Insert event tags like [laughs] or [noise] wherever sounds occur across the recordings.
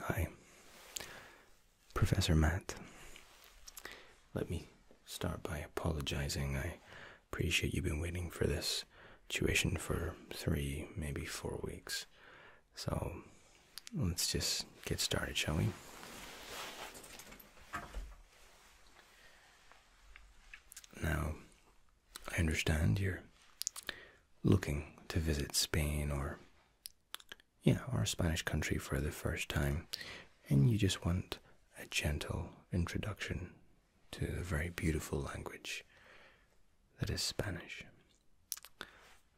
Hi, Professor Matt. Let me start by apologizing. I appreciate you've been waiting for this tuition for three, maybe four weeks. So let's just get started, shall we? Now, I understand you're looking to visit Spain or yeah, our Spanish country for the first time, and you just want a gentle introduction to the very beautiful language that is Spanish.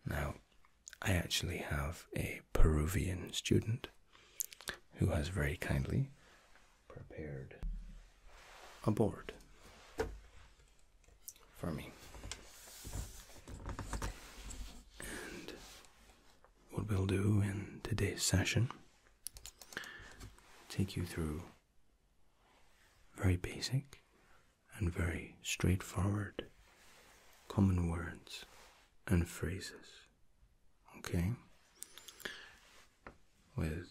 Now, I actually have a Peruvian student who has very kindly prepared a board for me. And what we'll do in today's session take you through very basic and very straightforward common words and phrases. Okay? With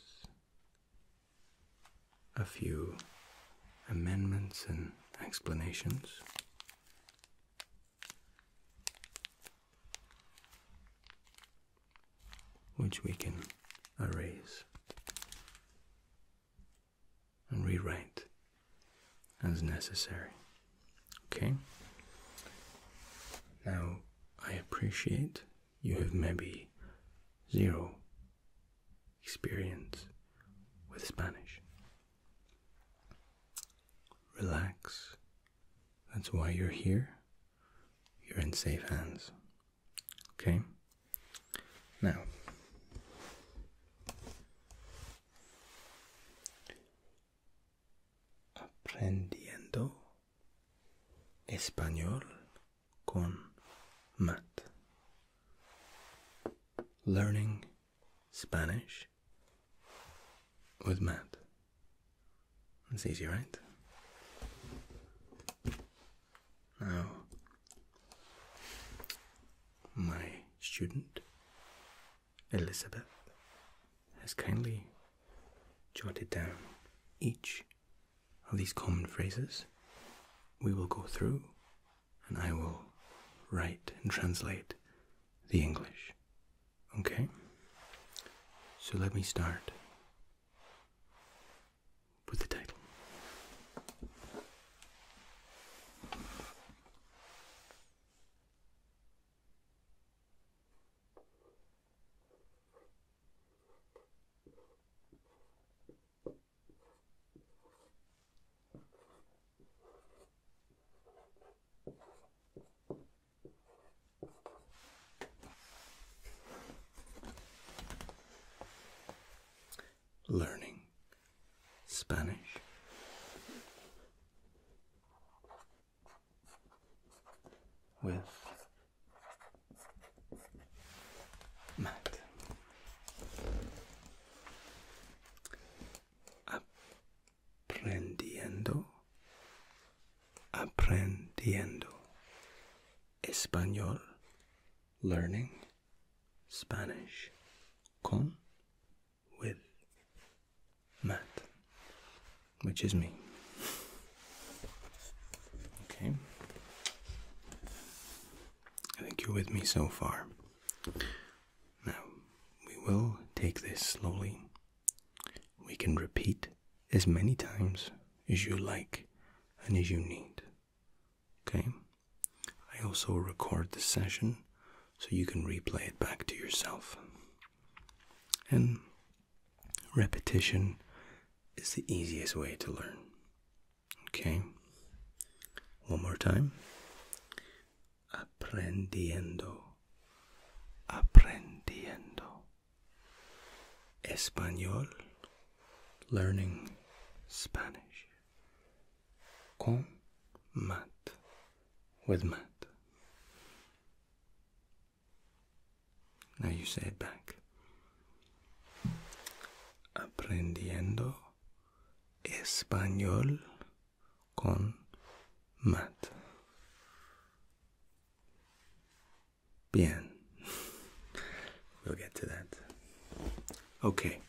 a few amendments and explanations. Which we can erase and rewrite as necessary. Okay? Now, I appreciate you have maybe zero experience with Spanish. Relax. That's why you're here. You're in safe hands. Okay? Now, aprendiendo español con mat. Learning Spanish with Matt. It's easy, right? Now, my student Elizabeth has kindly jotted down each of these common phrases, we will go through and I will write and translate the English. Okay? So let me start with the title. Learning Spanish. With Matt. Aprendiendo. Aprendiendo. Español. Learning. Spanish. Con. With. Matt. Which is me. Okay. I think you're with me so far. Now, we will take this slowly. We can repeat as many times as you like and as you need. Okay? I also record the session so you can replay it back to yourself. And repetition is the easiest way to learn. Okay. One more time. Aprendiendo. Aprendiendo. Español. Learning Spanish. Con mat. With mat. Now you say it back aprendiendo español con Matt. Bien. [laughs] We'll get to that. Okay.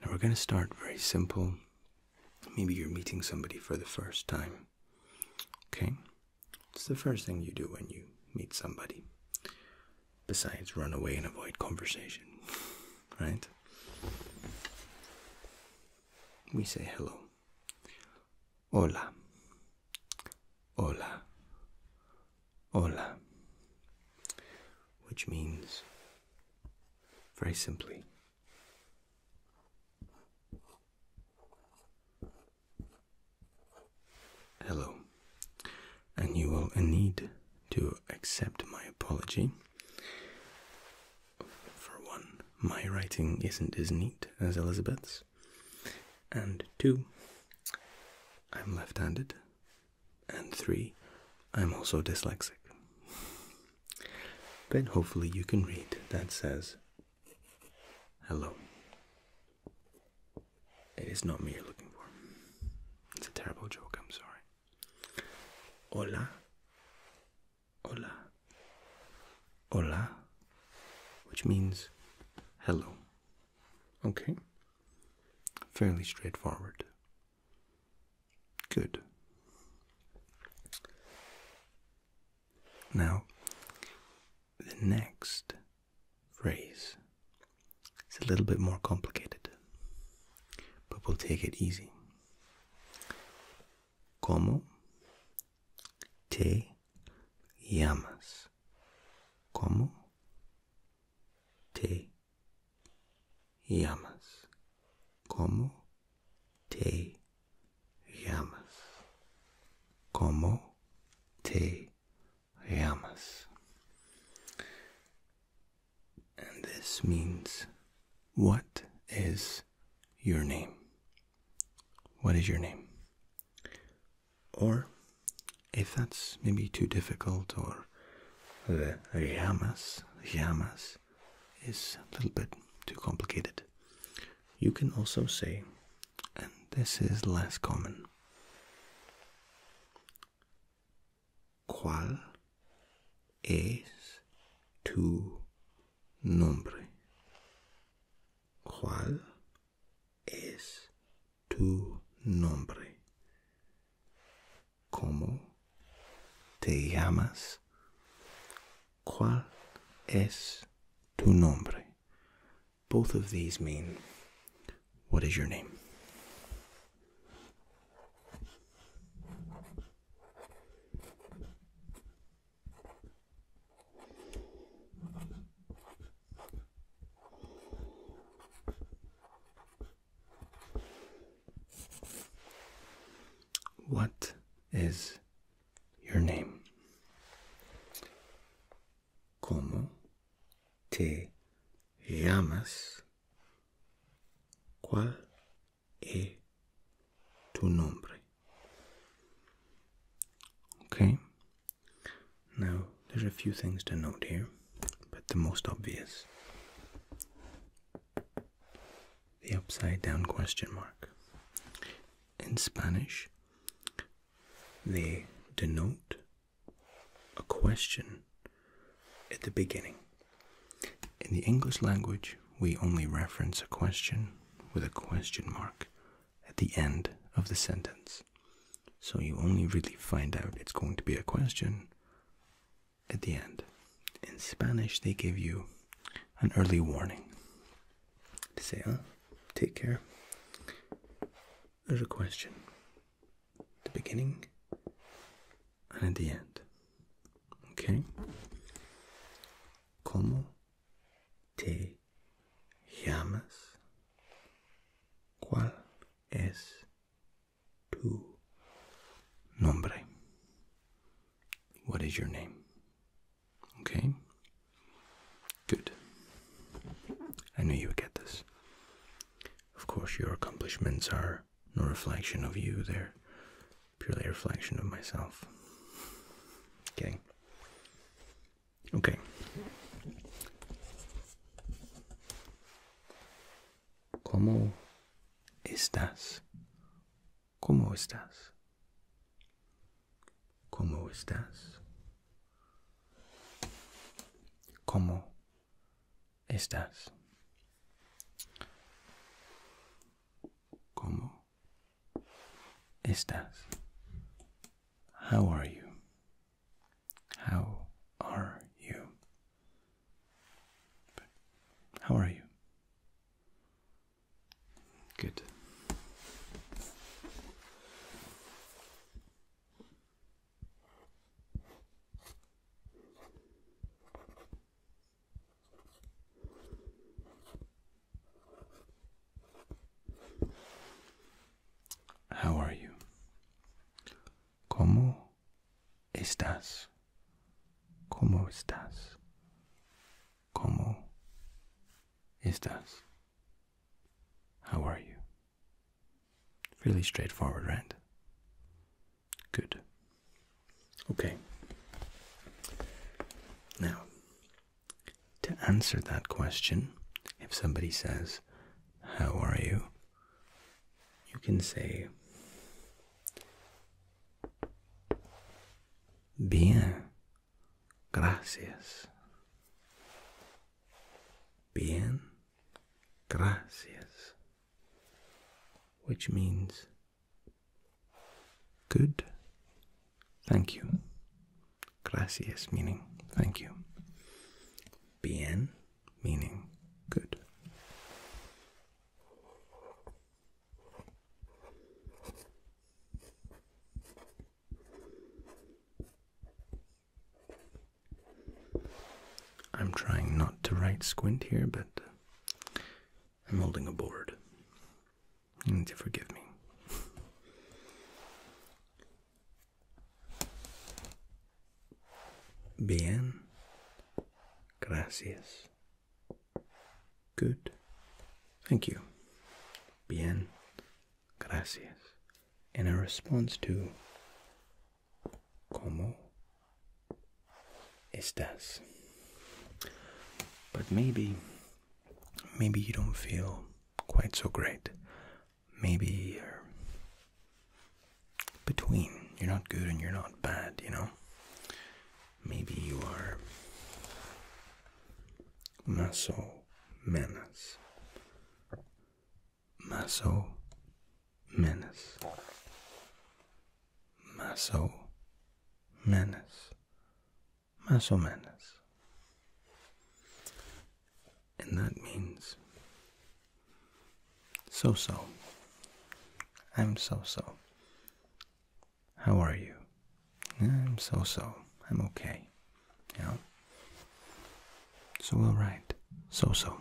Now we're going to start very simple. Maybe you're meeting somebody for the first time. Okay? It's the first thing you do when you meet somebody besides run away and avoid conversation, right? We say hello. Hola. Hola. Hola. Which means, very simply, Hello, and you will need to accept my apology. For one, my writing isn't as neat as Elizabeth's, and two, I'm left handed, and three, I'm also dyslexic. But hopefully, you can read that says, Hello. It is not me you're looking for. It's a terrible joke, I'm sorry. Hola. Hola. Hola. Which means hello. Okay? Fairly straightforward. Good. Now, the next phrase. It's a little bit more complicated, but we'll take it easy. ¿Cómo te llamas? ¿Cómo te llamas? ¿Cómo te llamas? ¿Cómo te llamas. And this means, what is your name? What is your name? Or, if that's maybe too difficult, or the yamas yamas is a little bit too complicated, you can also say and this is less common. ¿Cuál es tu nombre? ¿Cuál es tu nombre? ¿Cómo te llamas? ¿Cuál es tu nombre? Both of these mean, What is your name? What is your name? ¿Cómo te llamas? ¿Cuál es tu nombre? Okay. Now, there's a few things to note here, but the most obvious the upside down question mark. In Spanish, they denote a question at the beginning. In the English language, we only reference a question with a question mark at the end of the sentence. So you only really find out it's going to be a question at the end. In Spanish, they give you an early warning to say, huh? Ah, take care there's a question the beginning and at the end. Okay? Como te llamas? ¿Cuál es tu nombre? What is your name? Okay? Good. I knew you would get this. Of course, your accomplishments are no reflection of you, they're purely a reflection of myself. Okay. Okay. ¿Cómo estás? ¿Cómo estás? ¿Cómo estás? How are you? How are you? How are you? Good. How are you? ¿Cómo estás? ¿Cómo estás? ¿Cómo estás? How are you? Really straightforward, right? Good. Okay. Now, to answer that question, if somebody says, How are you? you can say, Bien, gracias. Bien, gracias, which means good, thank you. Gracias meaning thank you. Bien meaning good. I'm trying not to write squint here, but I'm holding a board. You need to forgive me. Bien. Gracias. Good. Thank you. Bien. Gracias in a response to ¿Cómo estás? But maybe, maybe you don't feel quite so great. Maybe you're between. You're not good and you're not bad, you know? Maybe you are maso menos. Maso Menace. Maso Menace. Maso Menace. And that means so so. I'm so so. How are you? I'm so so. I'm okay. You So, alright. So, so.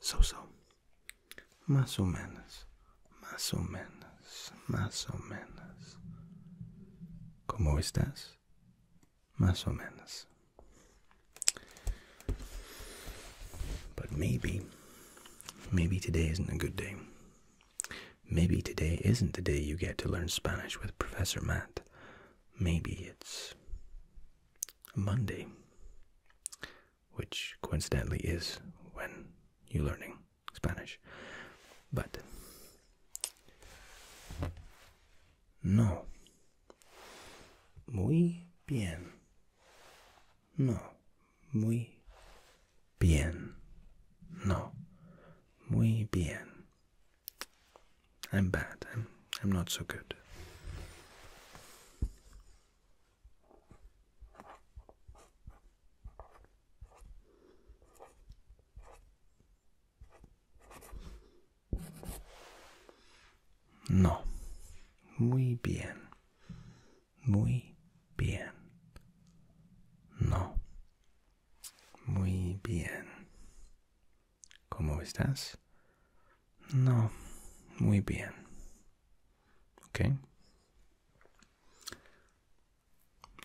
So, so. Más o menos. Más o menos. Más o menos. ¿Cómo estás? Más o menos. But maybe, maybe today isn't a good day. Maybe today isn't the day you get to learn Spanish with Professor Matt. Maybe it's Monday, which coincidentally is when you're learning Spanish. But no, Muy bien. No. Muy bien. No. Muy bien. I'm bad. I'm, I'm not so good. No. Muy bien. Muy bien. No. Muy bien. ¿Cómo estás? No. Muy bien. Okay.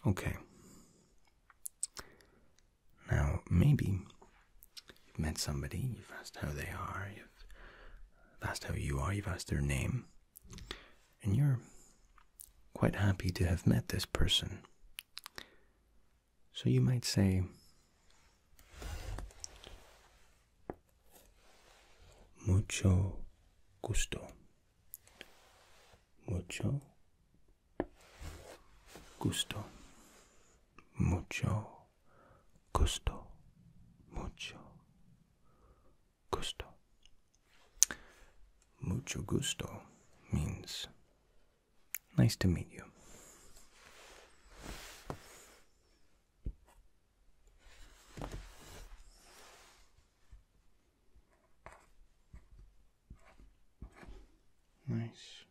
Okay. Now, maybe You've met somebody, you've asked how they are, you've asked how you are, you've asked their name, and you're quite happy to have met this person. So you might say, Mucho gusto. Mucho gusto mucho gusto, mucho gusto. Mucho gusto means nice to meet you. Nice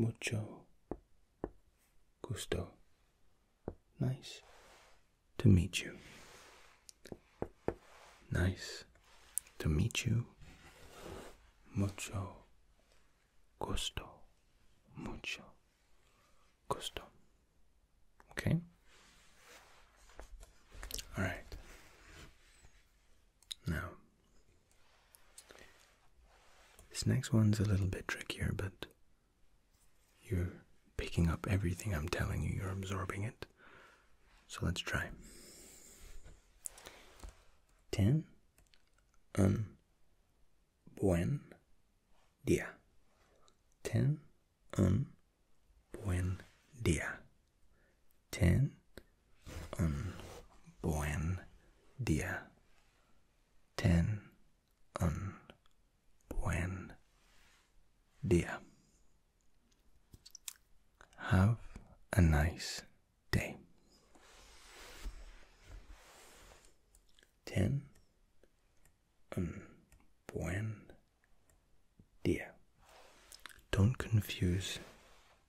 Mucho gusto. Nice to meet you. Nice to meet you. Mucho Costo Mucho. Costo. Okay? Alright. Now, this next one's a little bit trickier, but you're picking up everything I'm telling you, you're absorbing it. So let's try. 10 un buen día. Ten un buen día. Ten un buen día. Ten un buen día. Have a nice day ten un buen dia. Don't confuse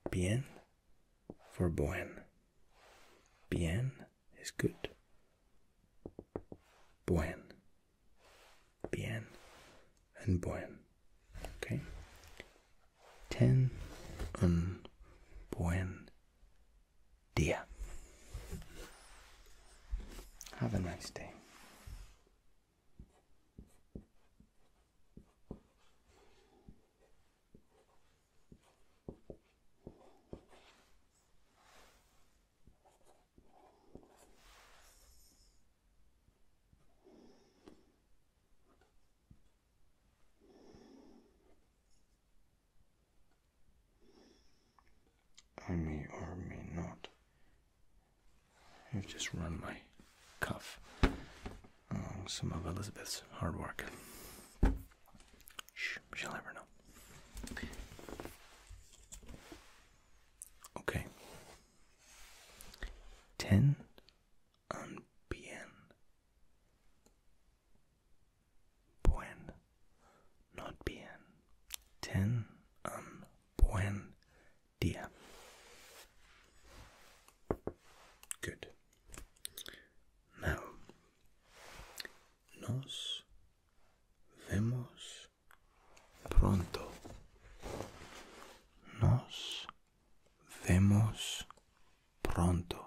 bien for buen. Bien is good. Buen. Bien and buen. Okay? Ten un buen dear. Have a nice day. I may or may not have just run my cuff on some of Elizabeth's hard work. she'll never know. Okay. Ten on bien buen, not bien. Ten un um, buen día. Good. Now, nos vemos pronto. Nos vemos pronto.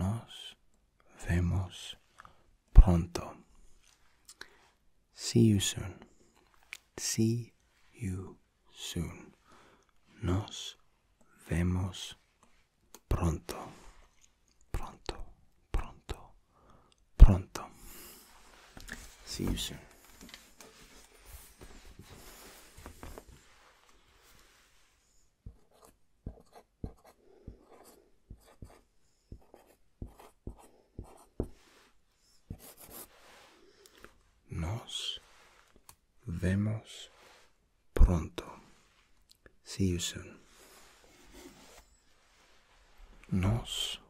Nos vemos pronto. See you soon. See you soon. Nos vemos pronto. Pronto, pronto, pronto. See you soon. Nos vemos pronto. See you soon. Nos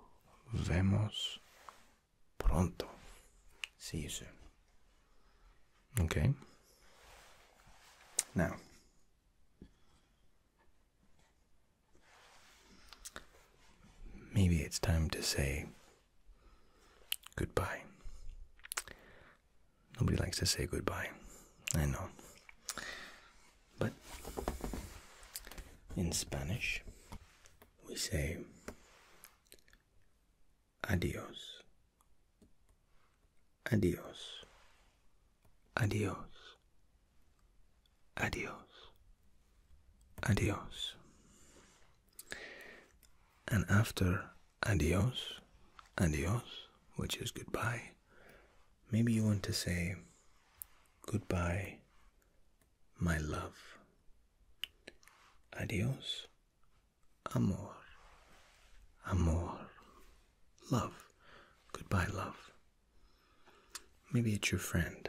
vemos pronto. See you soon. Okay. Now, Maybe it's time to say goodbye. Nobody likes to say goodbye, I know. But in Spanish, we say adios. Adiós. Adiós. Adiós. Adiós. And after adios, adios, which is goodbye, maybe you want to say goodbye, my love. Adios, amor, amor. Love. Goodbye, love. Maybe it's your friend.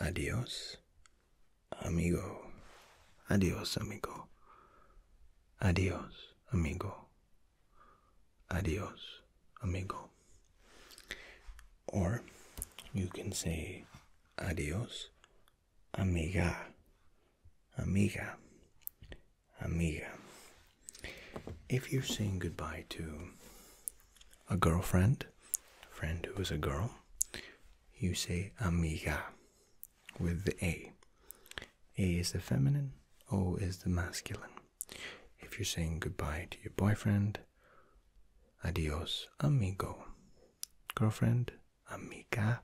Adios, amigo. Adios, amigo. Adios, amigo. Adios, amigo. Or you can say adios, amiga. Amiga amiga. If you're saying goodbye to a girlfriend, a friend who is a girl, you say amiga with the A. A is the feminine, O is the masculine. If you're saying goodbye to your boyfriend, adios amigo. Girlfriend, amiga,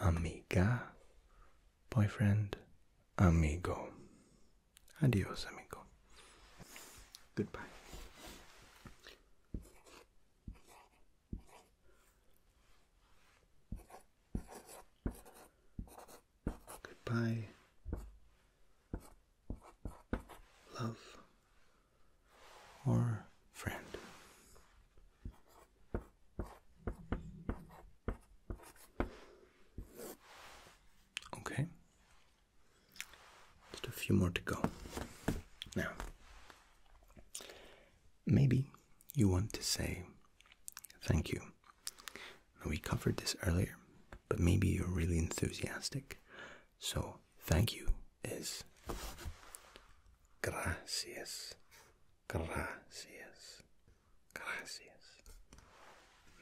amiga, boyfriend, amigo. Adios, amigo. Goodbye. Goodbye. Love or friend. Okay. Just a few more to go. Now, maybe you want to say thank you. We covered this earlier, but maybe you're really enthusiastic. So, thank you is gracias. Gracias. Gracias.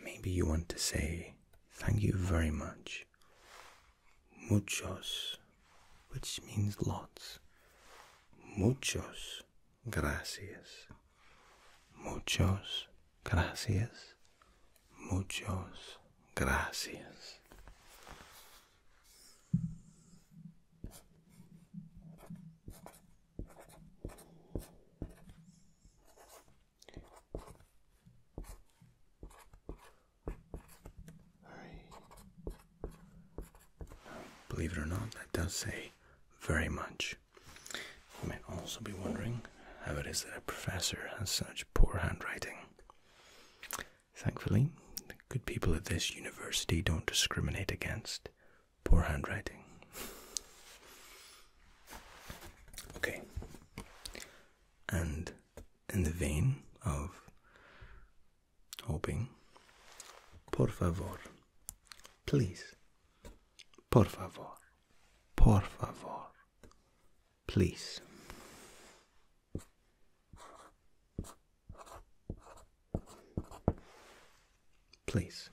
Maybe you want to say thank you very much. Muchos, which means lots. Muchos gracias. Muchos gracias. Muchos gracias. Believe it or not, that does say very much. You may also be wondering how it is that a professor has such poor handwriting. Thankfully, good people at this university don't discriminate against poor handwriting. Okay. And in the vein of hoping, por favor, please, por favor, por favor, please. Please.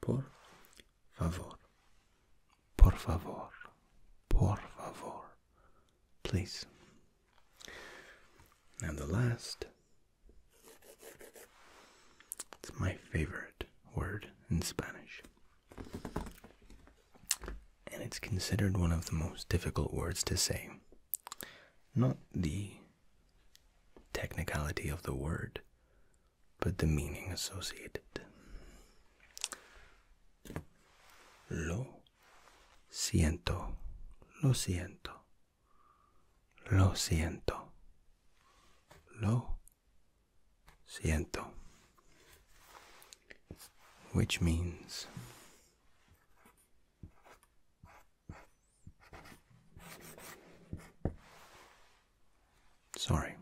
Por favor. Por favor. Por favor. Please. And the last. It's my favorite word in Spanish. And it's considered one of the most difficult words to say. Not the technicality of the word, but the meaning associated. Lo siento, lo siento, lo siento, lo siento, which means Sorry.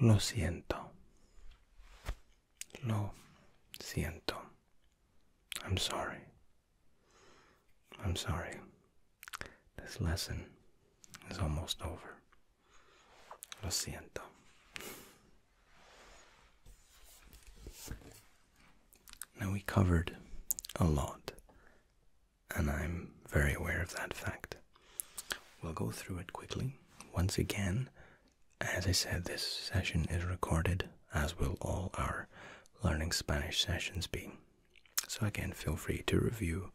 Lo siento. Lo siento. I'm sorry. I'm sorry. This lesson is almost over. Lo siento. Now, we covered a lot, and I'm very aware of that fact. We'll go through it quickly. Once again, as I said, this session is recorded, as will all our learning Spanish sessions be. So, again, feel free to review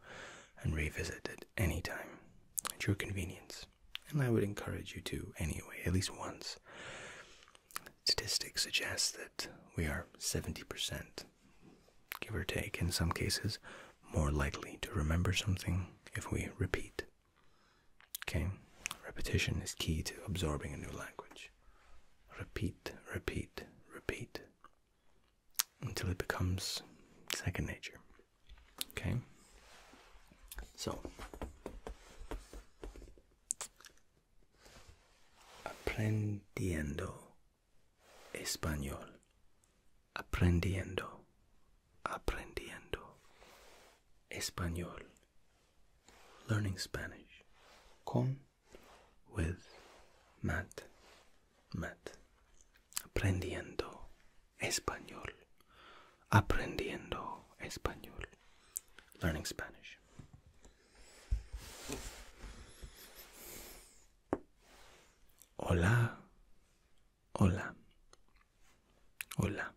and revisit at any time at your convenience. And I would encourage you to anyway, at least once. Statistics suggest that we are 70%, give or take, in some cases, more likely to remember something if we repeat. Okay? Repetition is key to absorbing a new language. Repeat, repeat, repeat until it becomes second nature. Okay. So aprendiendo español. Aprendiendo. Aprendiendo español. Learning Spanish. Con with mat, mat, Aprendiendo español, aprendiendo español, learning Spanish. Hola, hola, hola.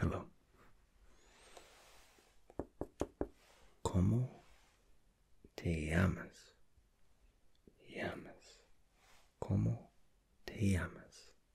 Hello. ¿Cómo te llamas? Llamas. ¿Cómo te llamas?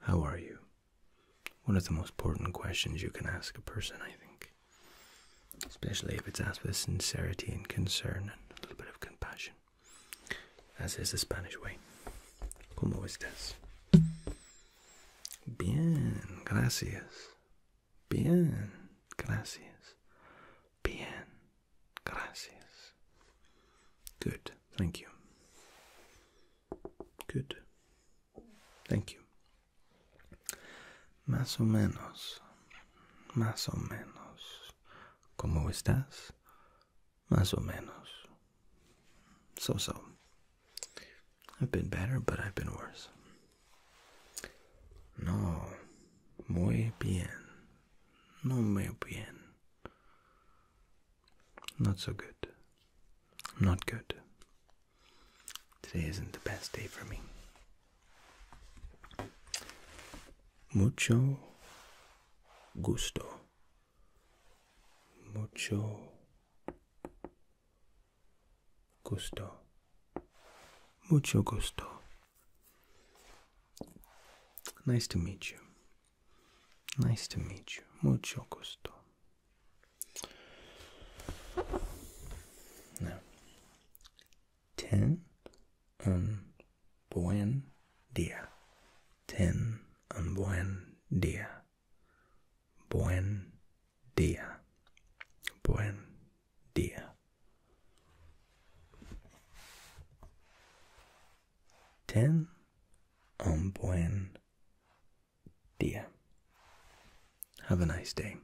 How are you? One of the most important questions you can ask a person, I think. Especially if it's asked with sincerity and concern and a little bit of compassion, as is the Spanish way. ¿Cómo estás? Bien, gracias. Bien, gracias. Bien, gracias. Good, thank you. Good. Thank you. Más o menos. Más o menos. ¿Cómo estás? Más o menos. So so. I've been better, but I've been worse. No. Muy bien. No muy bien. Not so good. Not good. Today isn't the best day for me. Mucho gusto. Mucho gusto. Mucho gusto. Nice to meet you. Nice to meet you. Mucho gusto. ten un buen dia. Ten un buen dia. Buen dia. Buen dia. Ten un buen día. Have a nice day.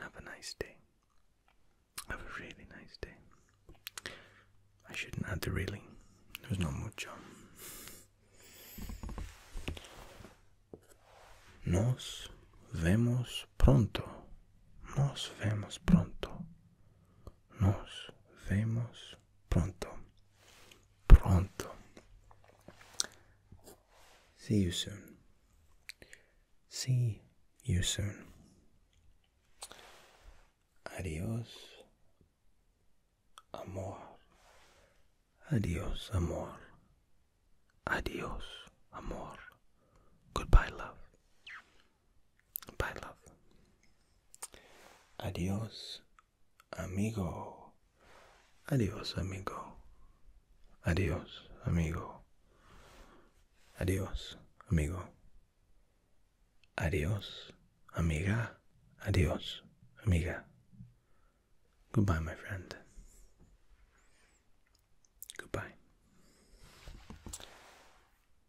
Have a nice day. Have a really nice day. I shouldn't add the really. There's not much on. Nos vemos pronto. Nos vemos pronto. Nos vemos Pronto. Pronto. See you soon. See you soon. Adios, amor. Adios, amor. Adios, amor. Goodbye, love. Bye, love. Adios, amigo. Adios, amigo. Adios, amigo. Adios, amigo. Adios, amiga. Adios, amiga. Goodbye, my friend. Goodbye.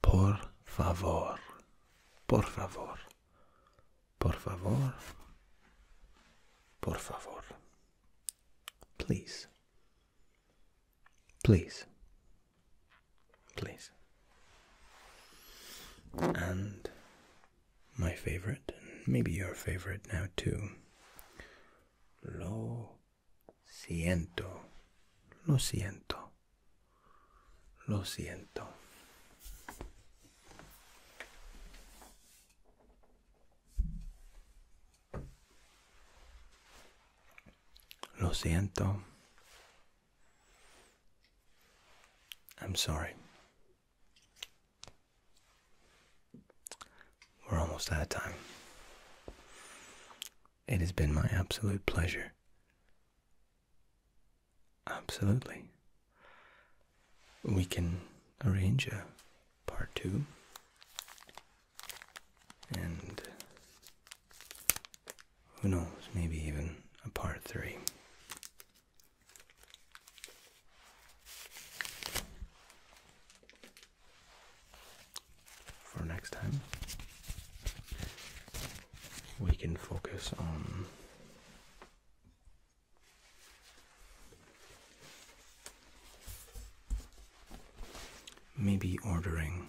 Por favor. Por favor. Por favor. Por favor. Please. Please. Please. And my favorite, maybe your favorite now too. Lo siento. Lo siento. I'm sorry. We're almost out of time. It has been my absolute pleasure Absolutely. We can arrange a part two and who knows, maybe even a part three. For next time, we can focus on maybe ordering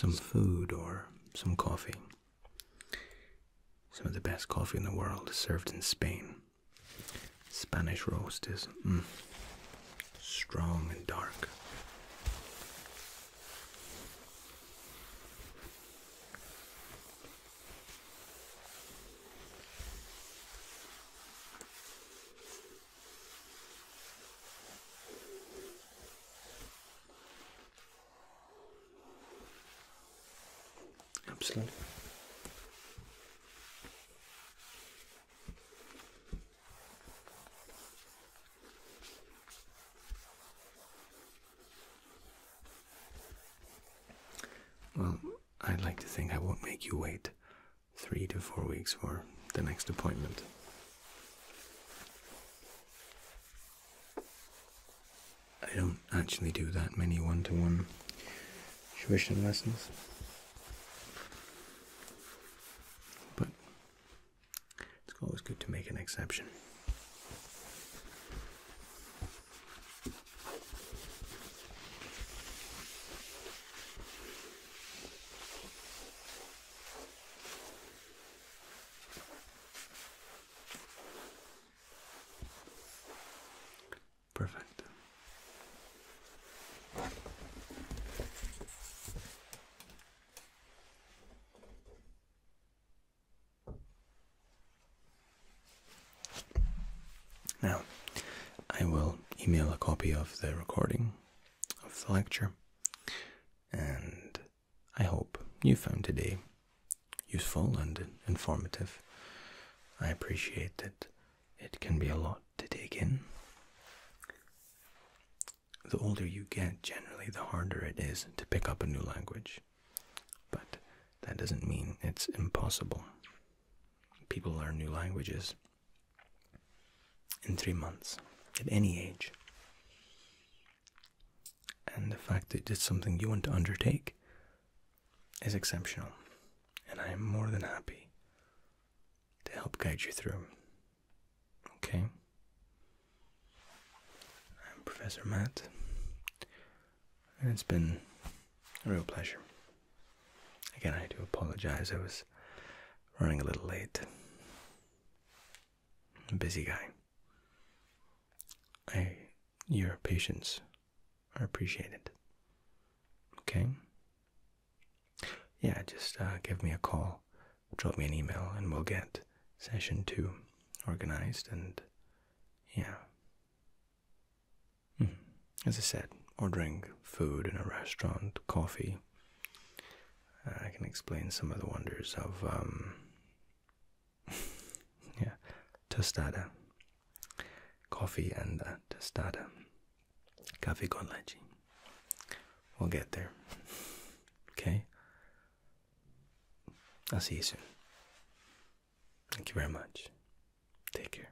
some food or some coffee. Some of the best coffee in the world served in Spain. Spanish roast is mm, strong and dark. Absolutely. Well, I'd like to think I won't make you wait three to four weeks for the next appointment. I don't actually do that many one to one tuition lessons. But it's always good to make an exception. Perfect. Now, I will email a copy of the recording of the lecture, and I hope you found today useful and informative. I appreciate that it can be a lot to take in. The older you get, generally, the harder it is to pick up a new language. But that doesn't mean it's impossible. People learn new languages in three months, at any age. And the fact that it's something you want to undertake is exceptional, and I am more than happy to help guide you through. Okay? I'm Professor Matt, and it's been a real pleasure. Again, I do apologize, I was running a little late. I'm busy guy. I, your patience I appreciate it. Okay? Yeah, just uh, give me a call, drop me an email, and we'll get session two organized and yeah. Hmm. As I said, ordering food in a restaurant, coffee. Uh, I can explain some of the wonders of um, [laughs] yeah, tostada. Coffee and uh, tostada. Café con leche. We'll get there. [laughs] Okay? I'll see you soon. Thank you very much. Take care.